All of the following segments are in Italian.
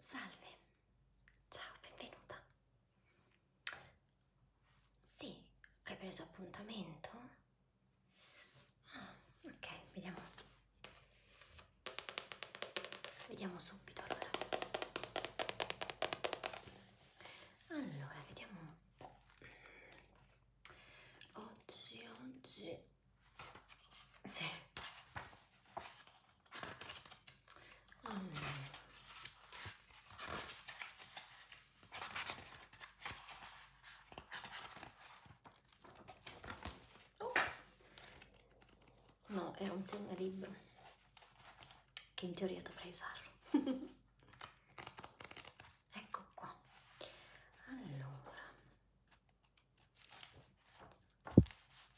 Salve, ciao, benvenuta. Sì, hai preso appuntamento? Ah, ok, vediamo. Vediamo subito allora. Allora, vediamo un po' oggi oggi sì allora. Oh, Ops. no era un segnalibro che in teoria dovrei usarlo ecco qua allora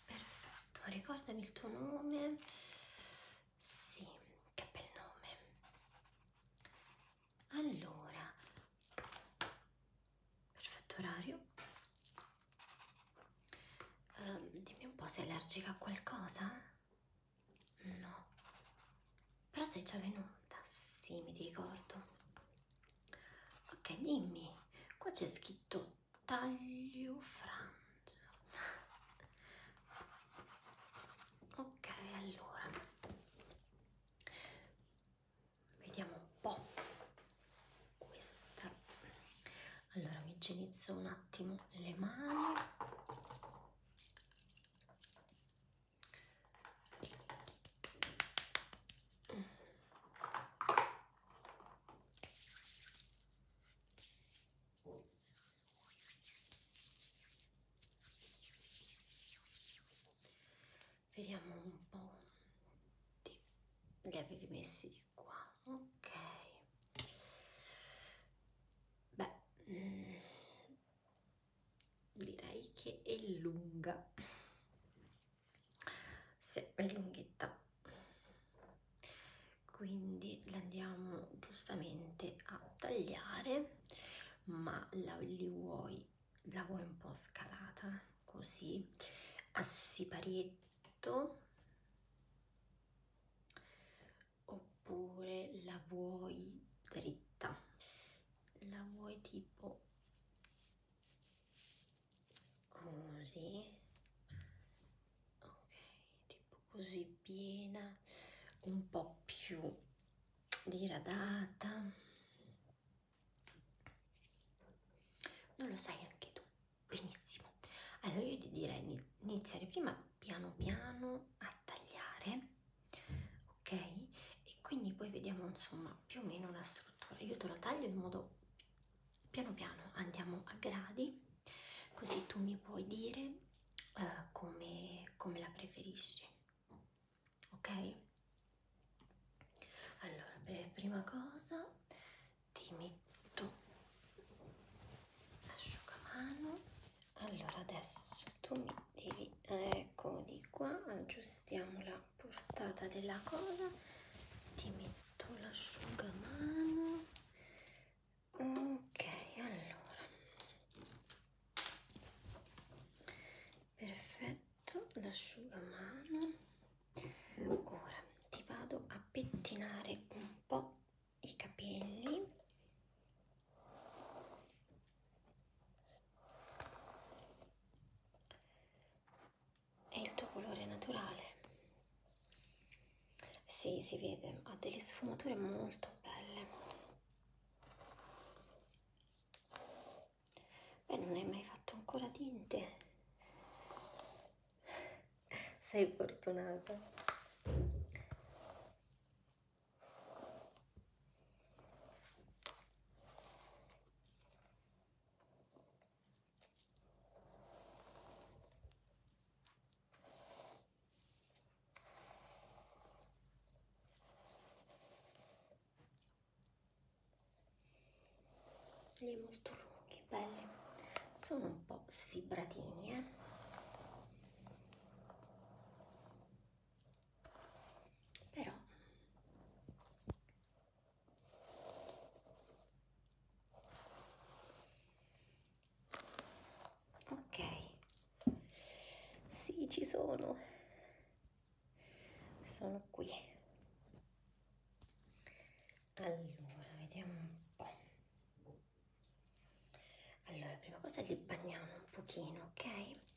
perfetto ricordami il tuo nome sì che bel nome allora perfetto orario uh, dimmi un po' sei allergica a qualcosa no però sei già venuta, sì mi ricordo. Ok, dimmi, qua c'è scritto taglio frangia. Ok, allora, vediamo un po' questa. Allora mi igienizzo un attimo le mani Vediamo un po'. Di... Li avevi messi di qua, ok. Beh, mm, direi che è lunga sì, è lunghetta quindi l'andiamo giustamente a tagliare ma la li vuoi la vuoi un po' scalata così a siparietto oppure la vuoi dritta la vuoi tipo così ok tipo così piena un po più diradata non lo sai anche tu benissimo allora io ti direi di iniziare prima piano piano a tagliare ok e quindi poi vediamo insomma più o meno la struttura io te lo taglio in modo piano piano andiamo a gradi così tu mi puoi dire uh, come, come la preferisci ok allora per prima cosa ti metto l'asciugamano allora adesso tu mi devi ecco di qua aggiustiamo la portata della cosa ti metto l'asciugamano ok allora perfetto l'asciugamano ora ti vado a pettinare un po i capelli è il tuo colore naturale. Sì, si vede, ha delle sfumature molto belle. Beh, non hai mai fatto ancora tinte. Sei fortunata li molto lunghi, belli, sono un po' sfibratini, eh però ok sì ci sono sono qui allora vediamo un po' allora prima cosa li bagniamo un pochino ok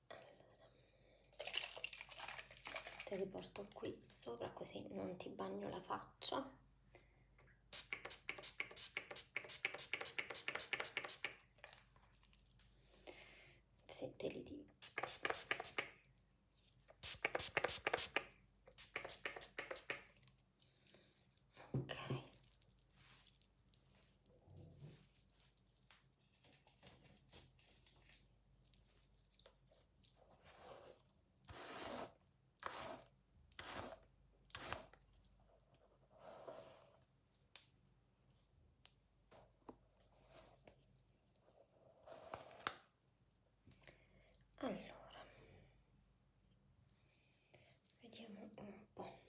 allora te li porto qui sopra così non ti bagno la faccia se te li divido ok allora, vediamo un po'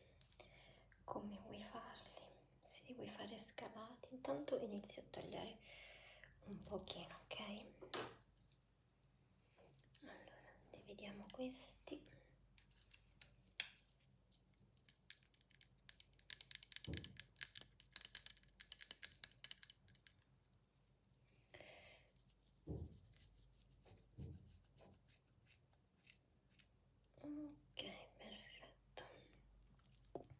come vuoi farli se li vuoi fare scalati intanto inizio a tagliare un pochino ok allora dividiamo questi Ok, perfetto.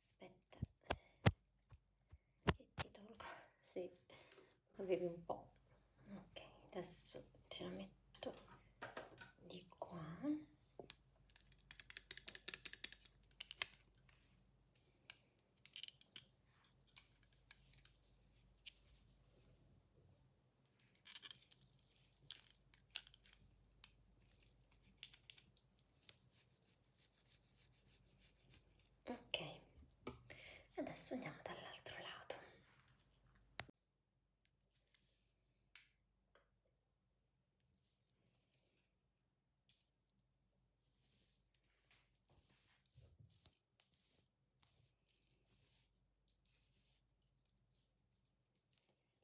aspetta che ti tolgo sì avevi un po ok adesso ce la metto di qua ok adesso andiamo dall'altro lato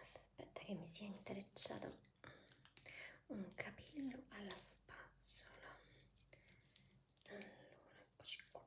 aspetta che mi sia intrecciato un capello alla spazzola allora eccoci qua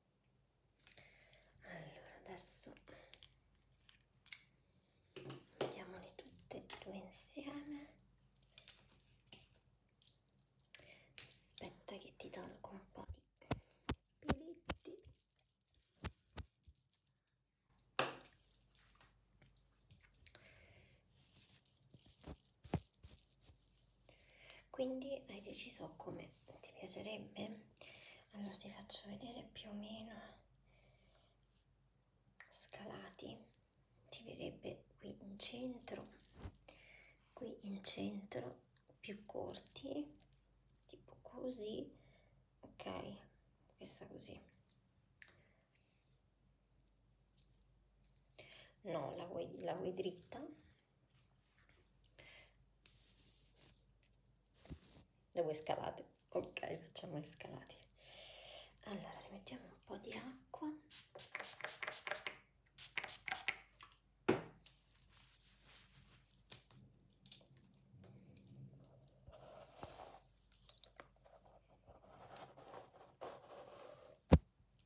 allora adesso mettiamole tutte e due insieme aspetta che ti tolgo un po' di peletti quindi hai deciso come ti piacerebbe allora ti faccio vedere più o meno scalati ti verrebbe qui in centro qui in centro più corti tipo così ok questa così no la vuoi, la vuoi dritta le vuoi scalate? ok facciamo le scalate allora rimettiamo un po' di acqua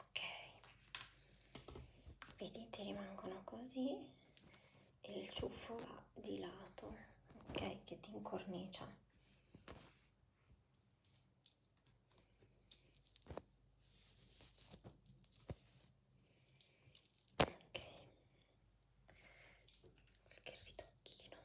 ok vedete rimangono così e il ciuffo va di lato ok che ti incornicia ok qualche ritocchino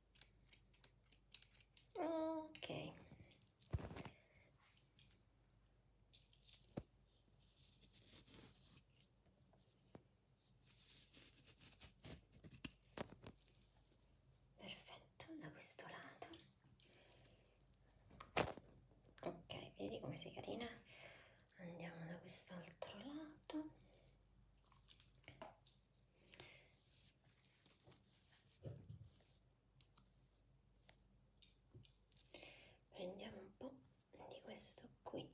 ok perfetto da questo lato ok vedi come sei carina andiamo da quest'altro lato prendiamo un po' di questo qui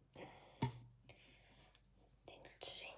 del centro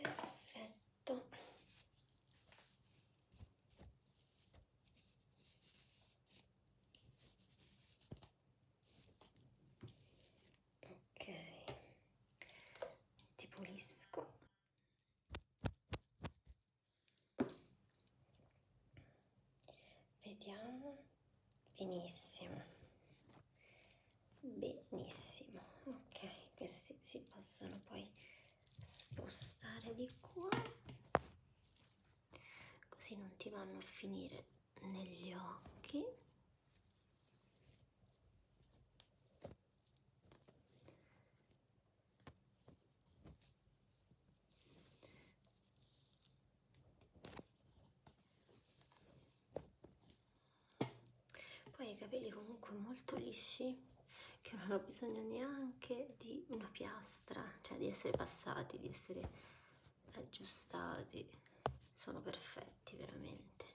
perfetto ok ti pulisco vediamo benissimo benissimo ok questi si possono poi spostare di qua così non ti vanno a finire negli occhi poi i capelli comunque molto lisci che non ho bisogno neanche di una piastra cioè di essere passati di essere aggiustati sono perfetti veramente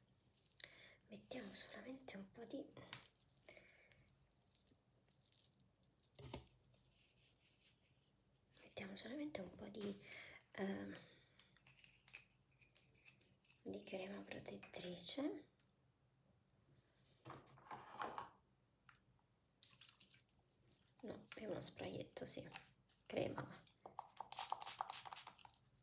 mettiamo solamente un po' di mettiamo solamente un po' di eh, di crema protettrice no è uno sprayetto sì crema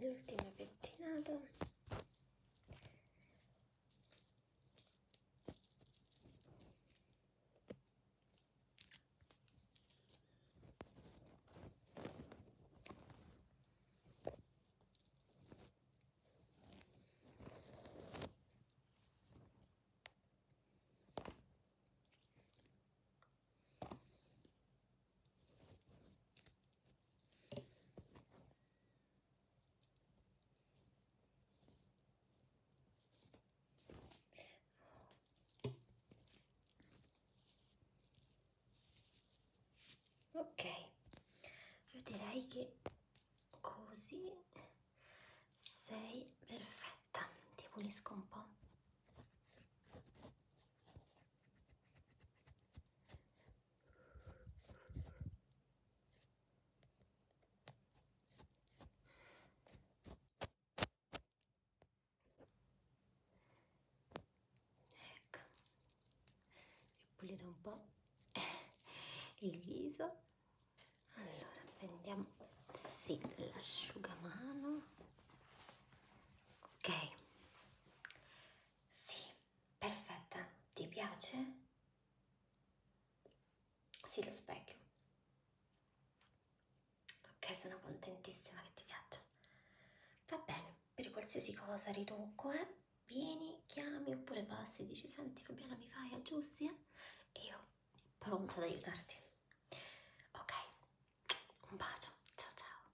l'ultima pettinata ok io direi che così sei perfetta ti pulisco un po' Ecco, e pulito un po' il viso. Allora prendiamo sì, l'asciugamano. Ok, sì, perfetta. Ti piace? Sì, lo specchio. Ok, sono contentissima che ti piaccia. Va bene, per qualsiasi cosa ritocco, eh? Vieni, chiami oppure passi e dici senti Fabiana mi fai aggiusti? Eh? E io pronto ad aiutarti. Ok, un bacio, ciao ciao.